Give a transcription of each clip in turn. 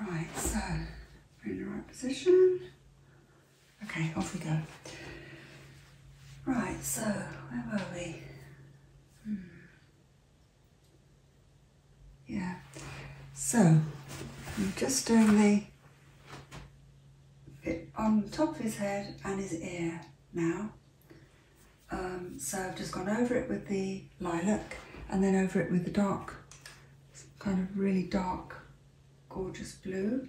Right, so we're in the right position. Okay, off we go. Right, so where were we? Hmm. Yeah, so I'm just doing the bit on top of his head and his ear now. Um, so I've just gone over it with the lilac and then over it with the dark, kind of really dark, gorgeous blue.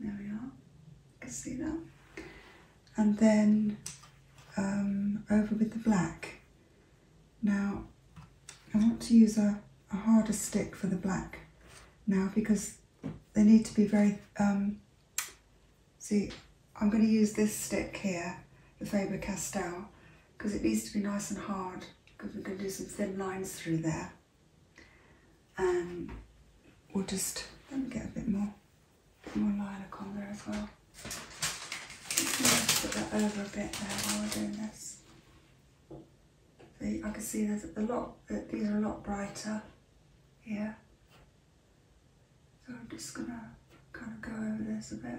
There we are, you can see that. And then um, over with the black. Now, I want to use a, harder stick for the black now because they need to be very, um, see, I'm going to use this stick here, the Faber-Castell, because it needs to be nice and hard because we're going to do some thin lines through there. And um, we'll just, let me get a bit more, more lilac on there as well. Put that over a bit there while we're doing this. See, I can see there's a lot, uh, these are a lot brighter here. So I'm just going to kind of go over this a bit.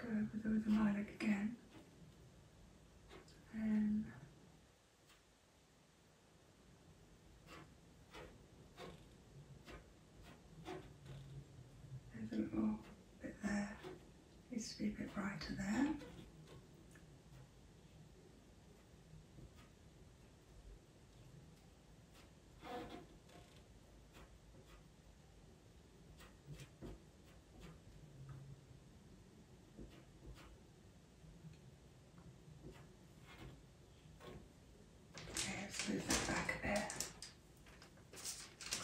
Go over the lilac again and a little bit there needs to be a bit brighter there. Okay, let's back a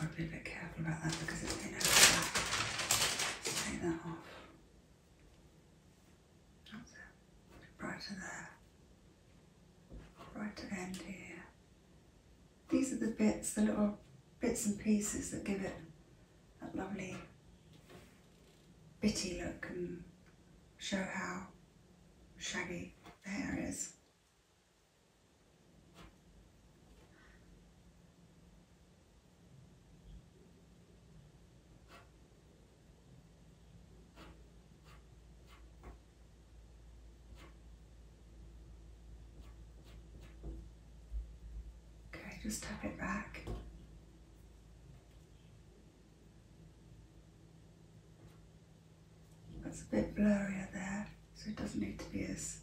i to be a bit careful about that because it's been overlap. Take that off. That's it. Brighter there. Brighter end here. These are the bits, the little bits and pieces that give it that lovely bitty look and show how shaggy the hair is. Okay, just tap it back. That's a bit blurrier there so it doesn't need to be as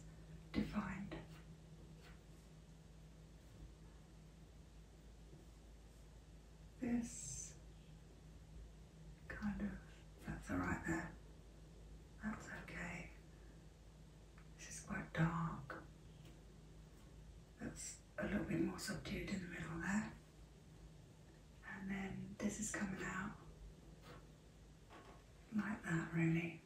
defined. This kind of, that's alright there, that's okay. This is quite dark, that's a little bit more subdued in the middle there. And then this is coming out like that really.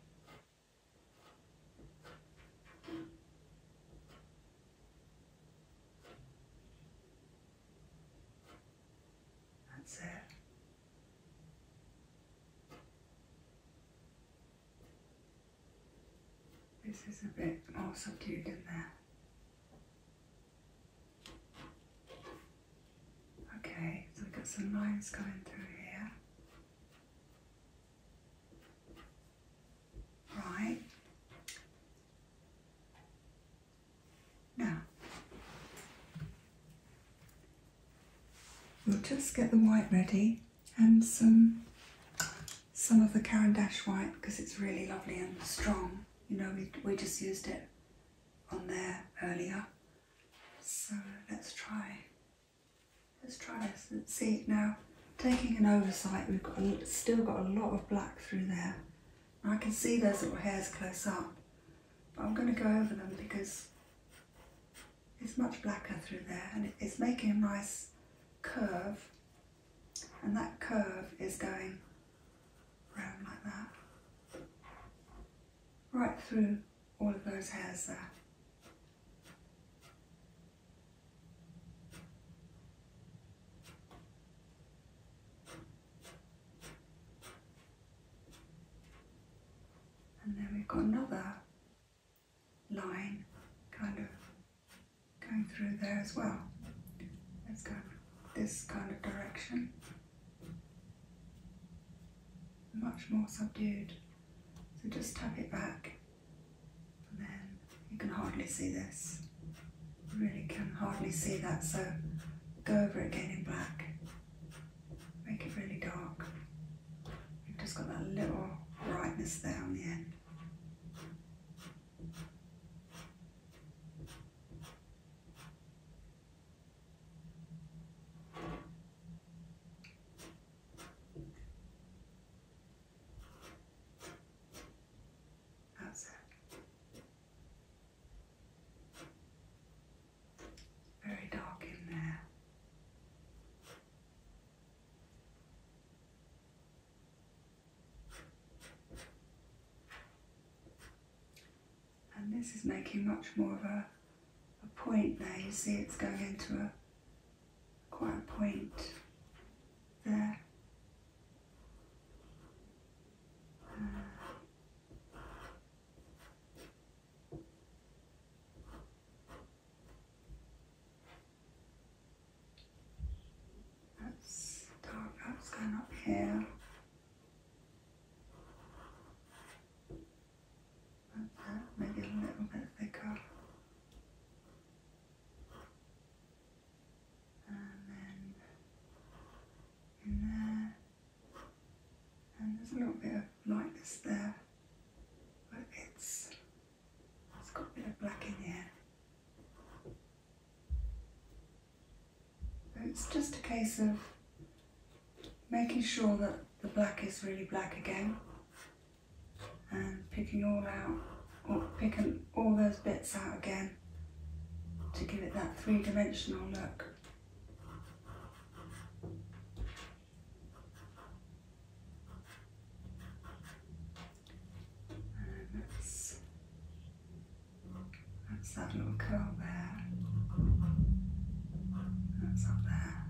That's it. This is a bit more subdued in there. Okay, so we've got some lines going through here. Right. Now, we'll just get the white ready and some some of the Caran d'Ache white because it's really lovely and strong. You know, we, we just used it on there earlier. So let's try Let's try this and see now. Taking an oversight, we've got still got a lot of black through there. I can see those little hairs close up, but I'm going to go over them because it's much blacker through there and it's making a nice curve and that curve is going round like that right through one of those has uh, and then we've got another line kind of going through there as well. Let's this kind of direction. Much more subdued. So just tap it back, and then you can hardly see this. You really can hardly see that, so go over it again in black. Make it really dark. just got that little brightness there on the end. That's it. Very dark in there. And this is making much more of a a point there. You see it's going into a quite a point there. that's dark, that's going up here maybe a little bit thicker. And then in there. And there's a little bit of lightness there, but it's it's got a bit of black in there. it's just a case of making sure that the black is really black again and picking all out picking all those bits out again to give it that three-dimensional look. And that's that little curl there. That's up there.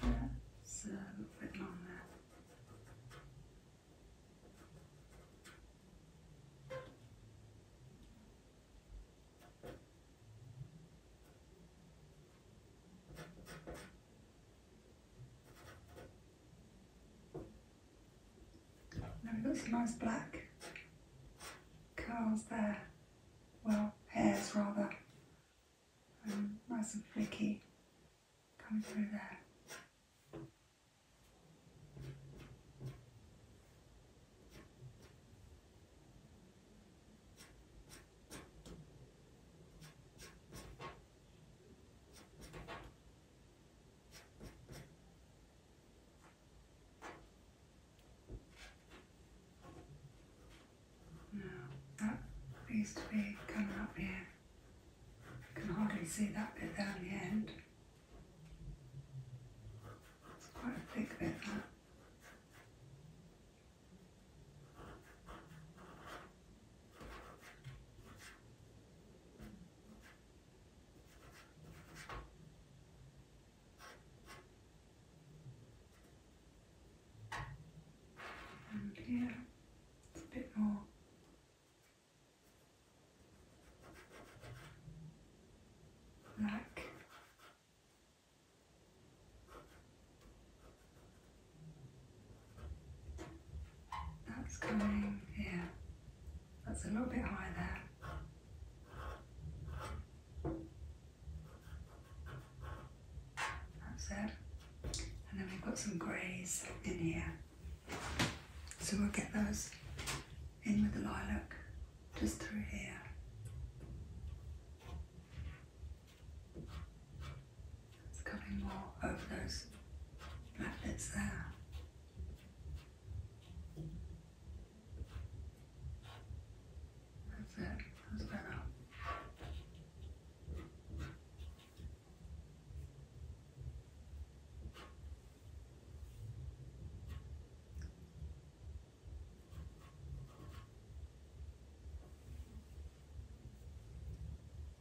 That's a little bit longer. Now we've got some nice black curls there, well, hairs rather, um, nice and flicky coming through there. Now, that needs to be coming up here. I can hardly see that bit down the end. quite a thick bit, that. And here, a bit more. Black that's coming here. That's a little bit high there. That's it. And then we've got some greys in here. So we'll get those in with the lilac just through here. It's coming more of those magnets there. That's it, that's better.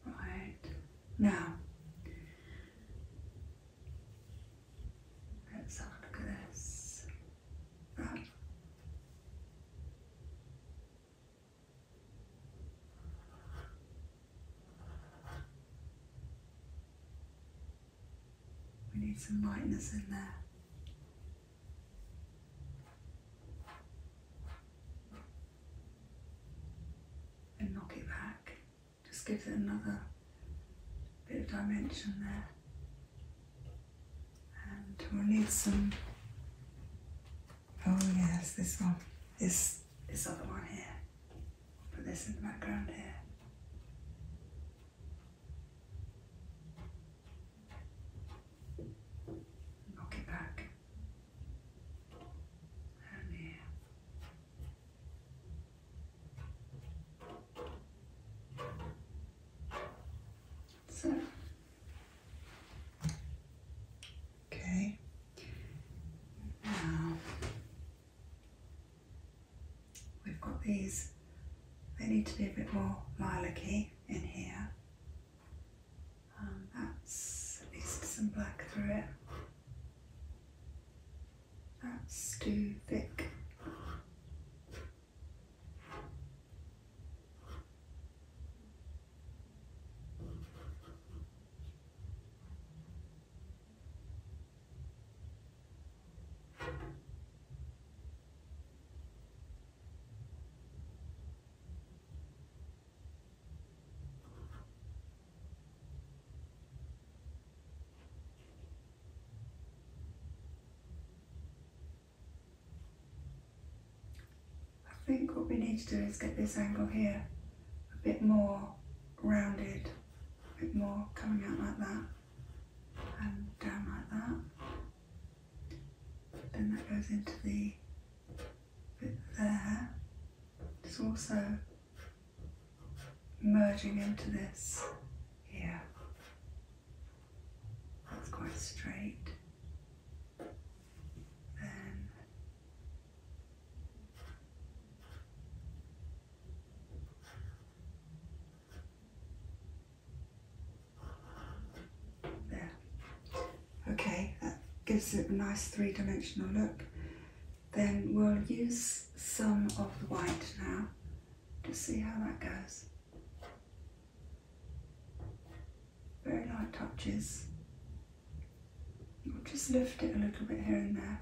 Right now, let's have a look at this. We need some lightness in there and knock it back. Just gives it another bit of dimension there. And we'll need some, oh yes, this one, this, this other one here. Put this in the background here. Knock it back. And here. So. Okay. Now we've got these. They need to be a bit more lilac-y in here. Um, that's at least some black through it. That's too thick. I think what we need to do is get this angle here a bit more rounded, a bit more coming out like that and down like that. Then that goes into the bit there. It's also merging into this here. That's quite straight. Then there. Okay, that gives it a nice three-dimensional look. Then we'll use some of the white now to see how that goes. Very light touches. We'll just lift it a little bit here and there.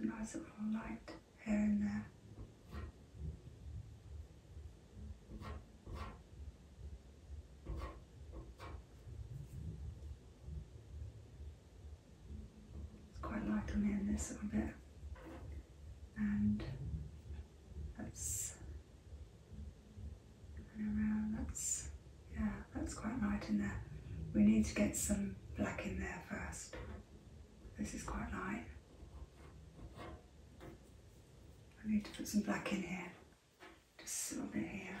A nice little light here and there. It's quite like I'm this little bit. And that's around that's yeah, that's quite light in there. We need to get some black in there first. This is quite light. I need to put some black in here. Just a little bit here.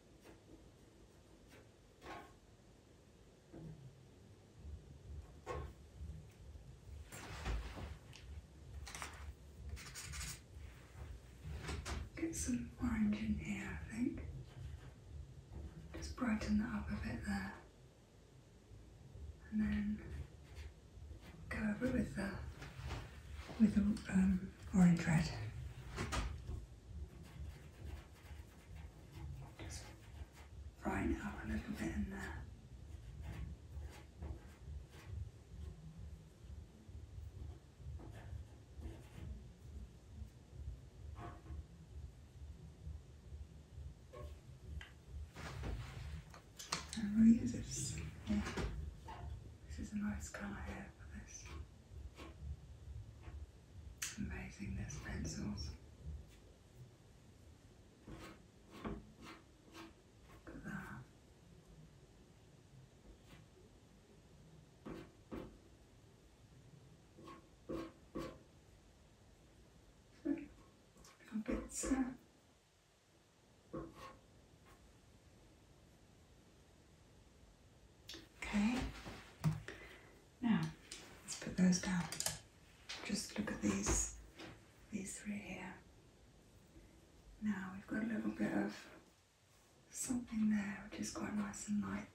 Get some orange in here, I think. Just brighten that up a bit there. And then go over with the with the um, or in dread. Just brighten it up a little bit in there. And we'll use this. Yeah. This is a nice colour here for this. Amazing, those pencils. Look at that. So, little Okay, now let's put those down. Just look at these, these three here. Now we've got a little bit of something there which is quite nice and light.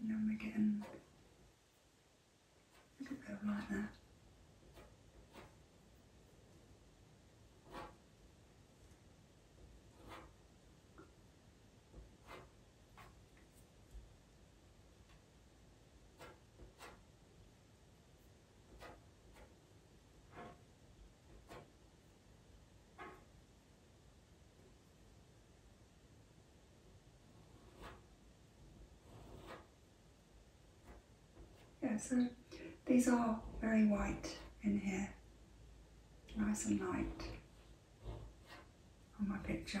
And then we're getting a little bit of light there. Yeah, so these are very white in here nice and light on my picture.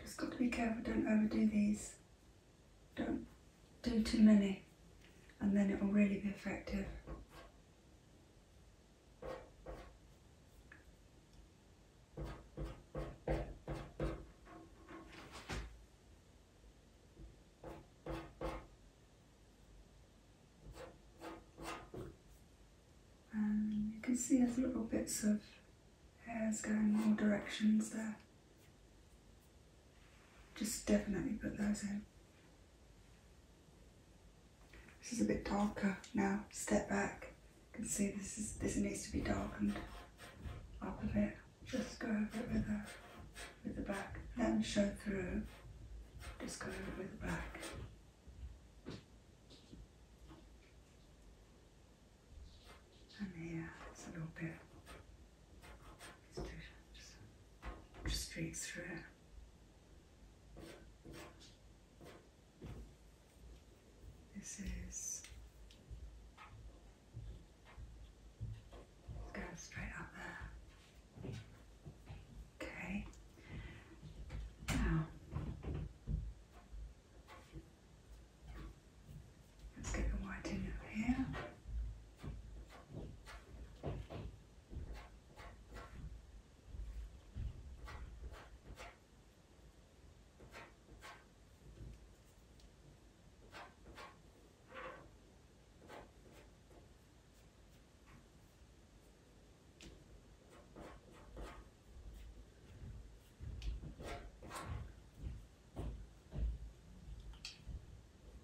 Just got to be careful, don't overdo these. Don't do too many and then it will really be effective. Um, you can see there's little bits of hairs going all directions there. Just definitely put those in. This is a bit darker now. Step back. You can see this is this needs to be darkened up a bit just go over it with the, with the back, then show through, just go over it with the back. And here, it's a little bit, just, just straight through. This is Let's Go straight up there. Okay. Now, let's get the white in over here.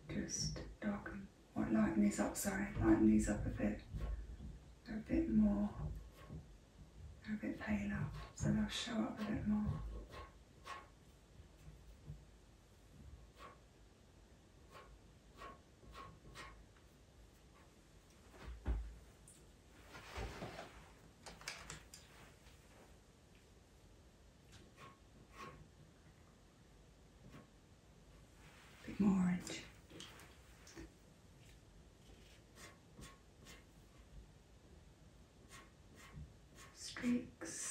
Just darken, or lighten these up, sorry, lighten these up a bit. a bit more, they're a bit paler, so they'll show up a bit more bit more orange. Streaks.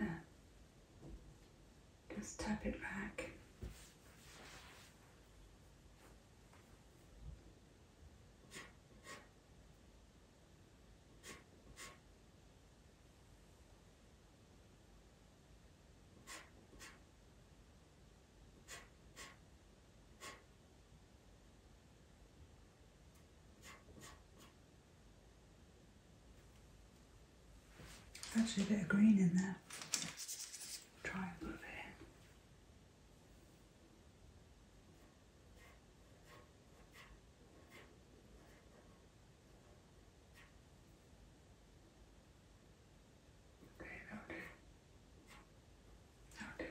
Uh, just tap it back. Actually, a bit of green in there. Try and move it in. Okay,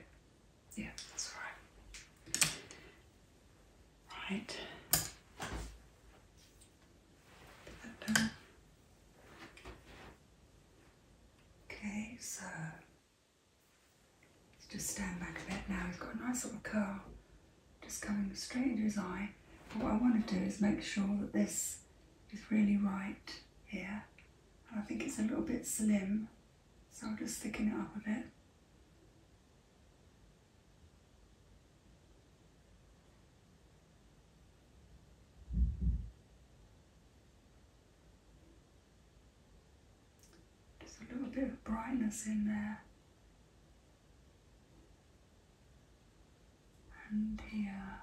yeah, that's all right. Right. Okay, so let's just stand back a bit now. He's got a nice little curl just coming straight into his eye. But what I want to do is make sure that this is really right here. I think it's a little bit slim so I'm just thicken it up a bit. Just a little bit of brightness in there. And here.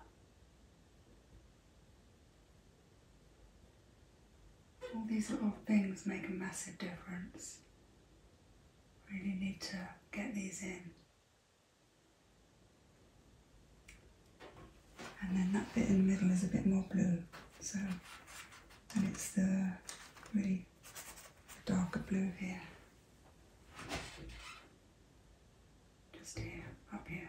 All these little things make a massive difference. Really need to get these in. And then that bit in the middle is a bit more blue. So, and it's the really darker blue here. Just here, up here.